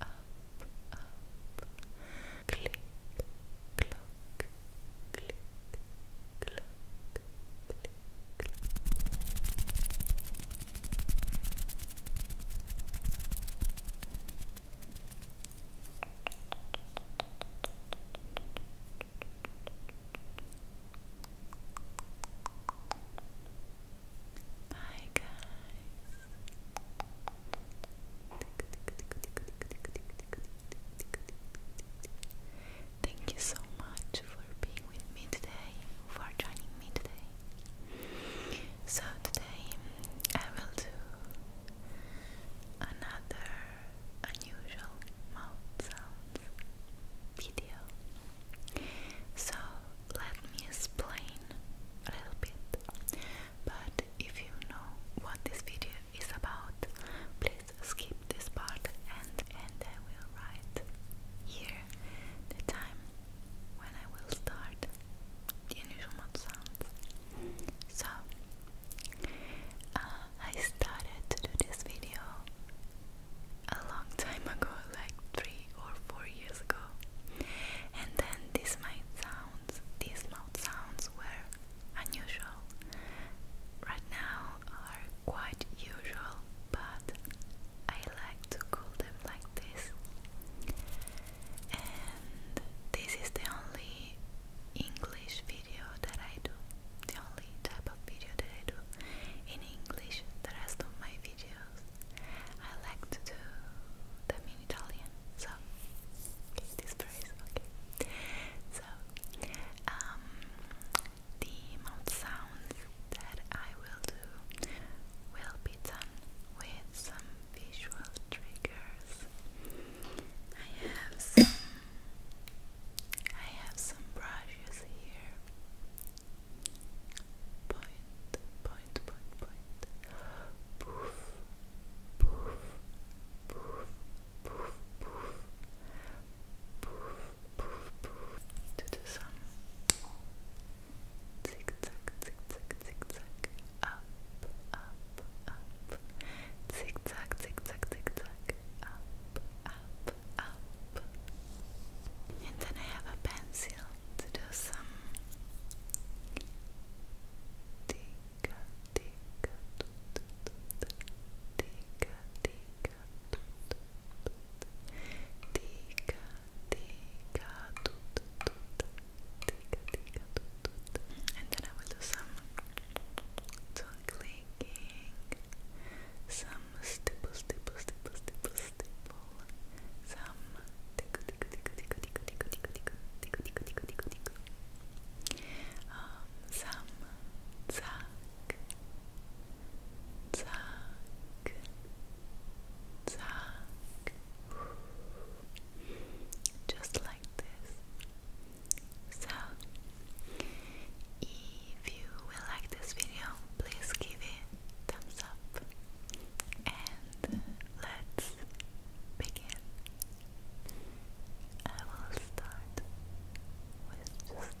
up, up. Click, clock, click, clock, click, Hi guys, Thank you so much for being with me today, for joining me today. So, today I will do another unusual mouth sounds video. So, let me explain a little bit. But if you know what this video is about, please skip this part and and I will write here the time when I will start the unusual mouth sounds. So uh, I started to do this video a long time ago, like three or four years ago. And then these mouth sounds, were unusual. Right now are quite usual, but I like to call them like this. And this is the only English video that I do, the only type of video that I do in English. The rest of my videos I like to do them in Italian, so okay, this phrase, okay. So, um, the mouth sounds that I will do will be done with some visual triggers. I have some, I have some brushes here. Point, point, point, point, point. Poof, poof, poof, poof, poof, poof, poof, poof. To the sun. Zig zag, zig zag, zig zag. Up, up, up. Zig zag, zig zag, zig zag. Up, up, up. And then I have a pencil seal to do some tika tika tika tika tika tika and then I will do some tongue clicking some stipple stipple stipple stipple stipple, some tickle, tickle, tickle, tickle, tickle, tickle, tickle, tickle, tickle, tickle, tickle, tickle, um, some zack, just like this. So, if you will like this video, please give it thumbs up, and let's begin. I will start with just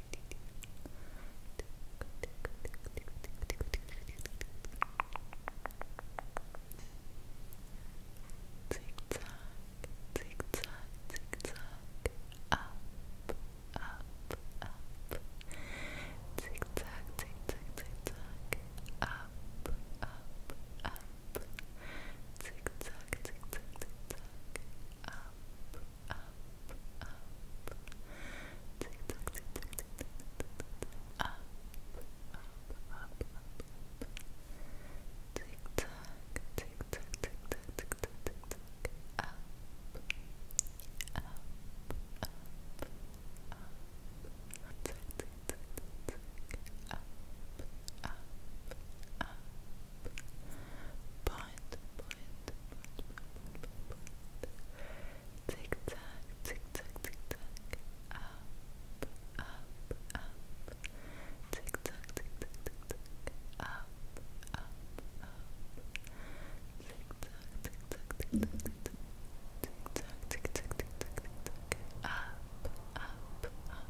Tick tock, tick tock, tick tock, up, up, up. Tick tock, tick tock, tick tock, up, up, up. Tick tock, tick tock, tick tock, up, up, up, tick, tick, tick, tick, tick, tick, tick, up, up, up, up, tick, tock, tick, tock, tick, tock, tick, tock, tick, tock, up, up, up, up, tick, tick, tick, tick, up, up, up, up, Point, point, point, point, point, point. Tick tack, tick tick Up, up, up. Tick tack, tick tick Up, up, up. Tick tack, tick tack, tick tick Tick tick tick tick Up, up, up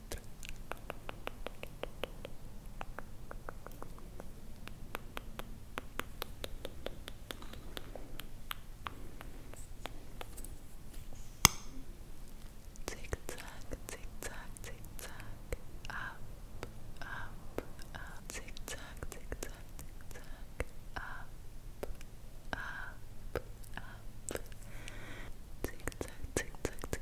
Tick tock, tick tock, tick tock, up, up, up, tick tock, tick tock, tick tock, up, up, up, tick tock, tick tock, tick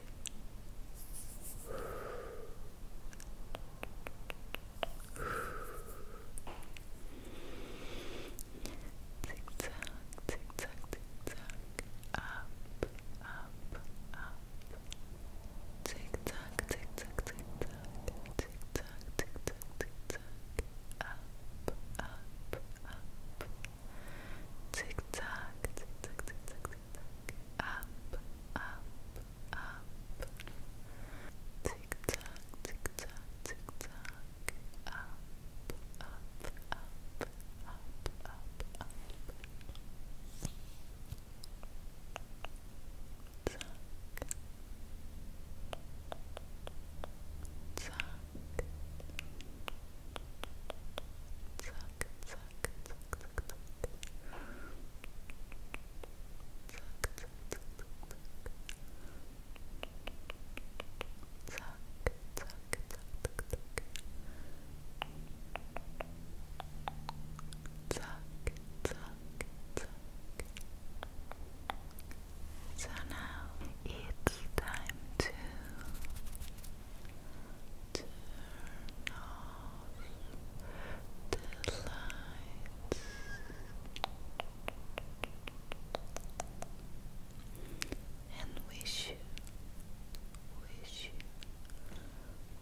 Tick tock, tick tock, tick tock. Up, up, up. Tick tock, tick tock, tick tock. Tick tock, tick tock, tick tock. Up, up, up. Tick tock, tick tock, tick tock, tick tock. Up, up, up. Tick tock, tick tock, tick tock. Up, up, up, up, up, up. Tuck. Tuck. Tuck, tuck, suck, suck, So now it's time to Turn off the lights. And wish you, wish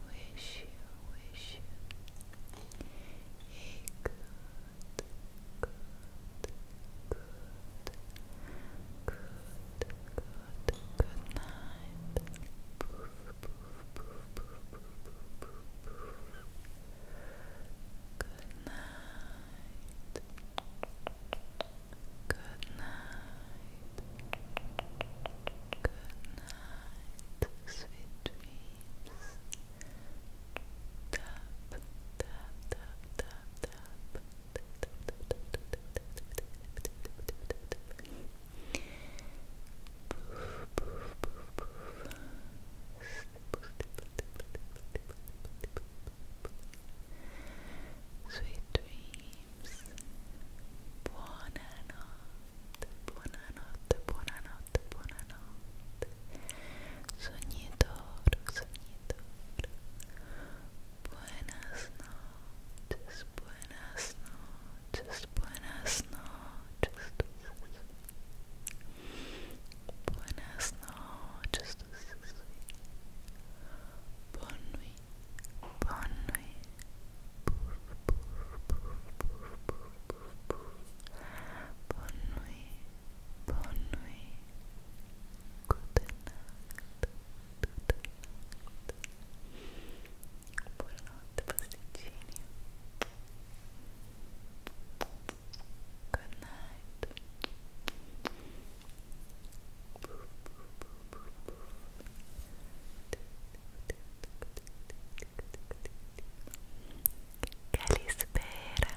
wish wish you a good, good, good, good good, good night. Poof, poof, poof, poof, poof, poof, poof. Good night. Good night. Good night. Sweet dreams. Tap, tap, tap, tap, tap. Sweet dreams. Buonanotte, buonanotte, buonanotte, buonanotte. Sognatore, sognatore. Buenas noches, buenas noches, buenas noches. Buenas noches. Bonne nuit, bonne nuit. Bonne nuit, bonne nuit. Good night. Buonanotte pasticcini. Good night. Calispera.